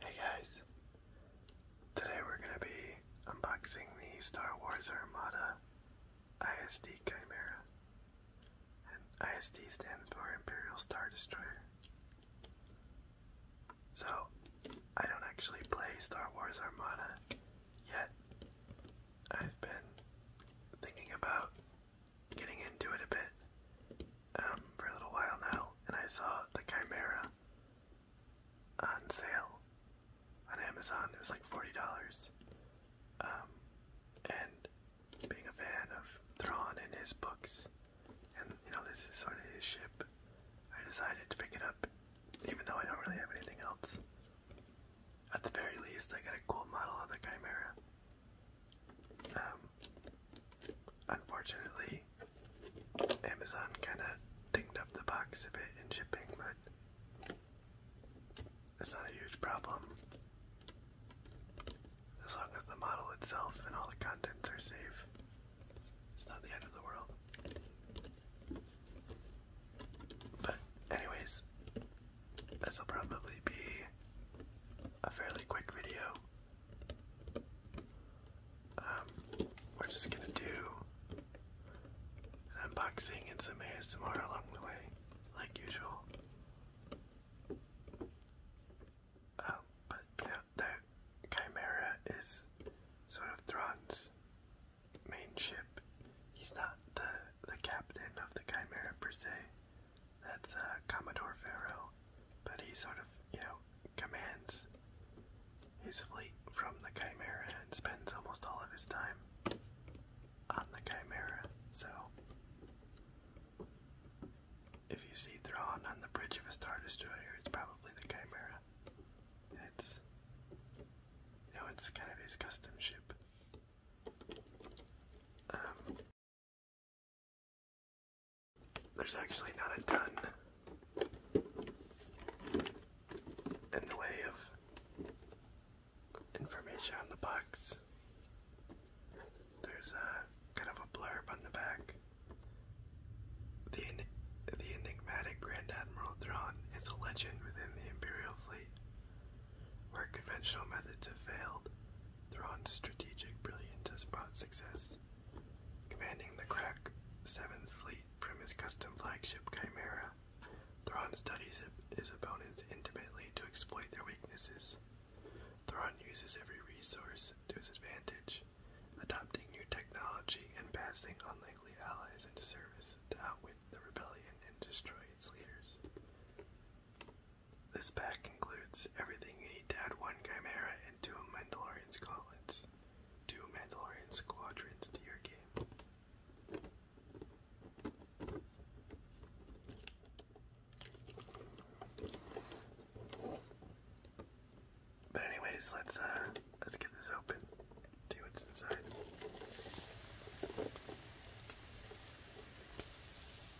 Hey guys, today we're going to be unboxing the Star Wars Armada ISD Chimera. And ISD stands for Imperial Star Destroyer. So, I don't actually play Star Wars Armada yet. I've been thinking about getting into it a bit um, for a little while now, and I saw the Chimera on sale on Amazon. It was like forty dollars. Um, and being a fan of Thrawn and his books, and you know this is sort of his ship, I decided to pick it up, even though I don't really have anything else. At the very least, I get a cool model of the Chimera. Um, Unfortunately, Amazon kind of dinged up the box a bit in shipping, but it's not a huge problem. As long as the model itself and all the contents are safe, it's not the end of the world. But, anyways, this will probably be a fairly quick video. Um, we're just gonna do an unboxing and some ASMR along the way, like usual. Um, but you know, that Chimera is sort of Thrawn's main ship. He's not the the captain of the Chimera per se. That's uh, Commodore Pharaoh, but he sort of, you know, commands his fleet from the Chimera and spends almost all of his time on the Chimera. So, if you see Thrawn on the bridge of a Star Destroyer, it's probably the Chimera. it's, you know, it's kind of his custom ship. Um, there's actually not a ton in the way of information on the box. There's a kind of a blurb on the back. The, enigmatic Grand Admiral Thrawn is a legend within the Imperial Fleet, where conventional methods have failed. Thrawn's strategic brilliance has brought success. Commanding the Krak 7th Fleet from his custom flagship Chimera, Thrawn studies his opponents intimately to exploit their weaknesses. Thrawn uses every resource to his advantage, adopting new technology and passing unlikely allies into service to outwit the rebellion and destroy its leaders. This pack includes everything you need to add one Chimera and two Mandalorian Squadrons, two Mandalorian Squadrons to your game. But anyways, let's uh let's get this open. See what's inside.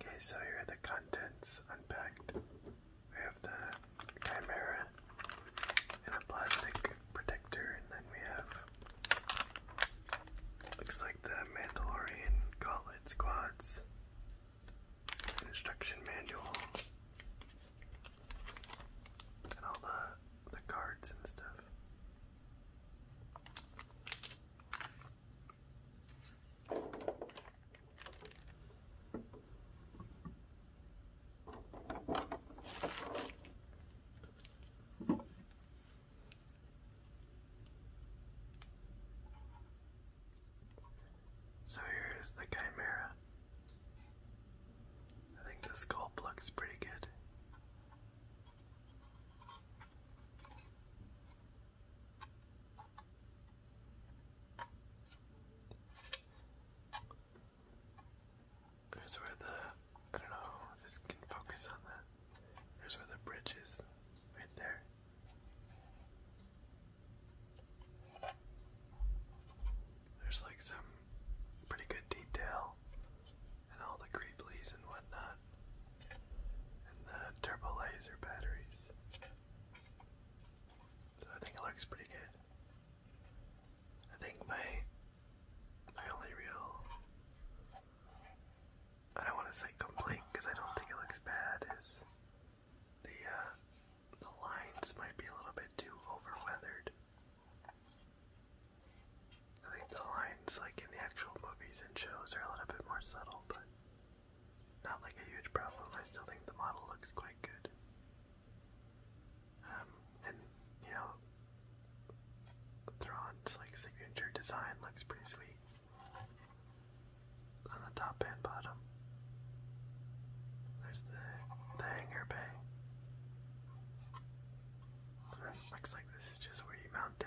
Okay, so here are the contents unpacked. We have the chimera in a plastic protector, and then we have looks like the Mandalorian gauntlet squads instruction manual and all the the cards and stuff. So here is the chimera. I think this sculpt looks pretty good. Here's where the I don't know if can focus on that. Here's where the bridge is, right there. There's like some pretty good detail and all the greeblies and whatnot. And the turbo laser batteries. So I think it looks pretty good. I think my my only real I don't want to say complete because I don't think it looks bad is the uh, the lines might be a little bit too over weathered. I think the lines, like in the actual movies and shows, are a little bit more subtle, but not like a huge problem. I still think the model looks quite good. Um, and you know, Thrawn's like signature design looks pretty sweet on the top and bottom. There's the, the hangar bay. looks like this is just where you mount it.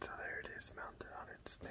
So there it is, mounted on its stand.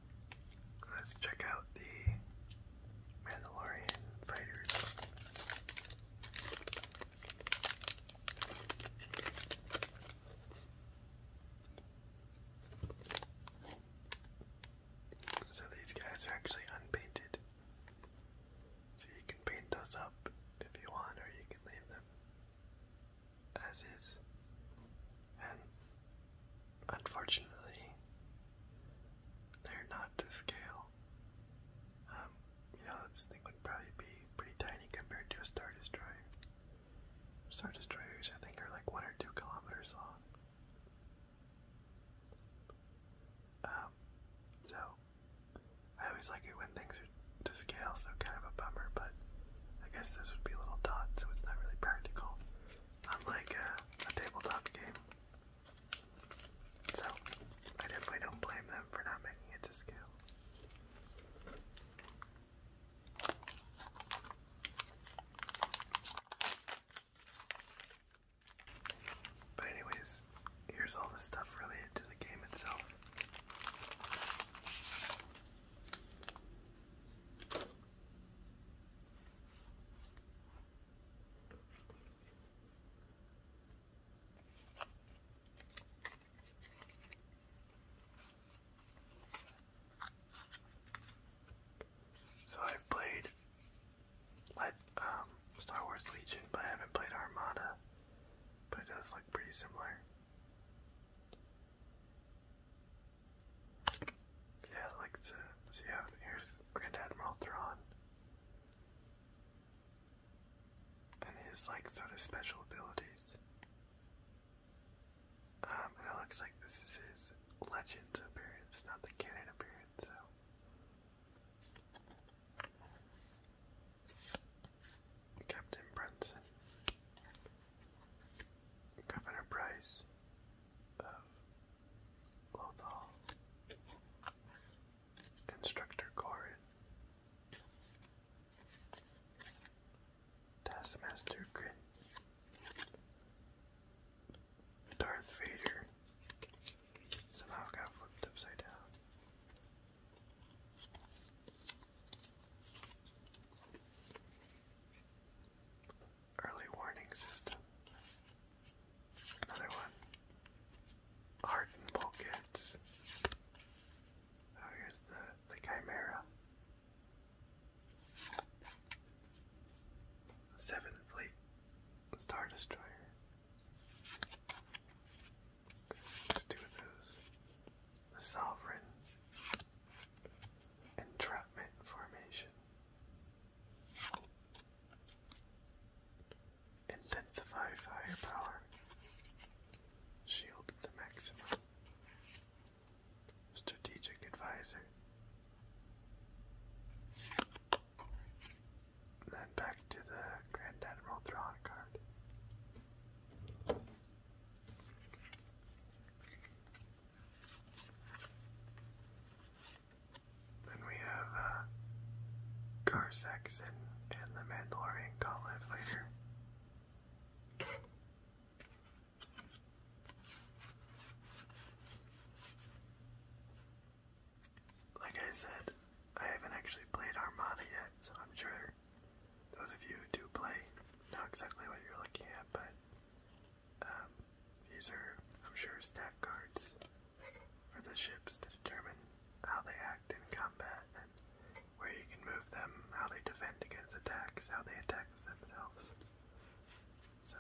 Let's check out the Mandalorian fighters. So these guys are actually unpainted. So you can paint those up if you want, or you can leave them as is. Unfortunately, they're not to scale. Um, you know, this thing would probably be pretty tiny compared to a Star Destroyer. Star Destroyers, I think, are like one or two kilometers long. Um, so, I always like it when things are to scale, so kind of a bummer, but I guess this would be a little dot, so it's not really practical unlike uh, a tabletop game. So, I definitely don't blame them for not making it to scale. But anyways, here's all the stuff related to the game itself. So I've played like um, Star Wars Legion, but I haven't played Armada. But it does look pretty similar. Yeah, like so. see how here's Grand Admiral Thrawn. And his like sort of special abilities. Um, and it looks like this is his Legends appearance, not the canon appearance, so Captain Brunson. Governor Price of Lothal, Instructor Corin, Taskmaster Grin, Darth Vader somehow got flipped upside down. Early warning system. Another one. Hardened bulkheads. Oh, here's the, the Chimera. Seventh Fleet Star Destroyer. Let's do those. Sovereign Entrapment Formation Intensify Firepower Shields to Maximum Strategic Advisor then back to the Grand Admiral Thrawn card. Then we have uh, Gar Saxon and the Mandalorian Call Live Like I said, I haven't actually played Armada yet, so I'm sure those of you who do play know exactly what you're looking at, but um, these are, I'm sure, stat cards for the ships to determine how they act in combat and where you can move them, how they defend against attacks, how they attack themselves. So,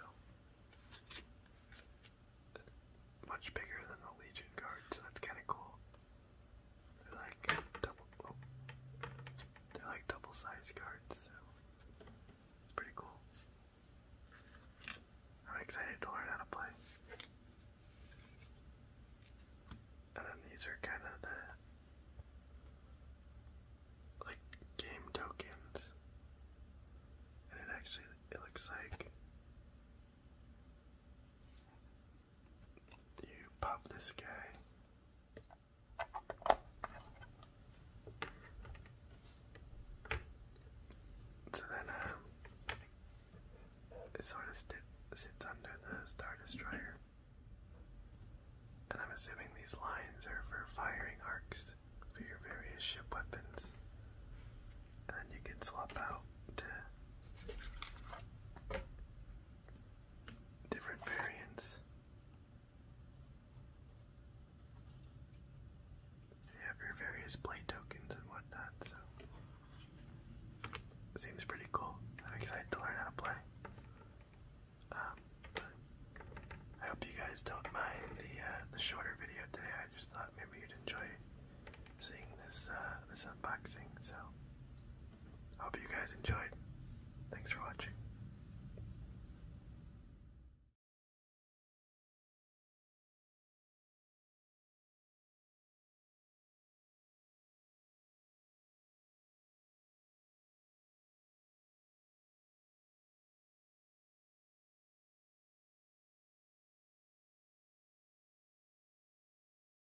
much bigger than the Legion cards, so that's kind of cool. They're like double. Oh, they're like double-sized cards, so it's pretty cool. I'm excited to learn how to play. And then these are kind of the like game tokens, and it actually it looks like you pop this guy. So then, uh, it sort of sti sits under the Star Destroyer. And I'm assuming these lines are for firing arcs for your various ship weapons. And you can swap out different variants. You have your various play tokens and whatnot, so seems pretty cool. I'm excited to learn how to play. Um, I hope you guys don't mind the uh, the shorter video today. I just thought maybe you'd enjoy seeing this uh, this unboxing. So Hope you guys enjoyed. Thanks for watching.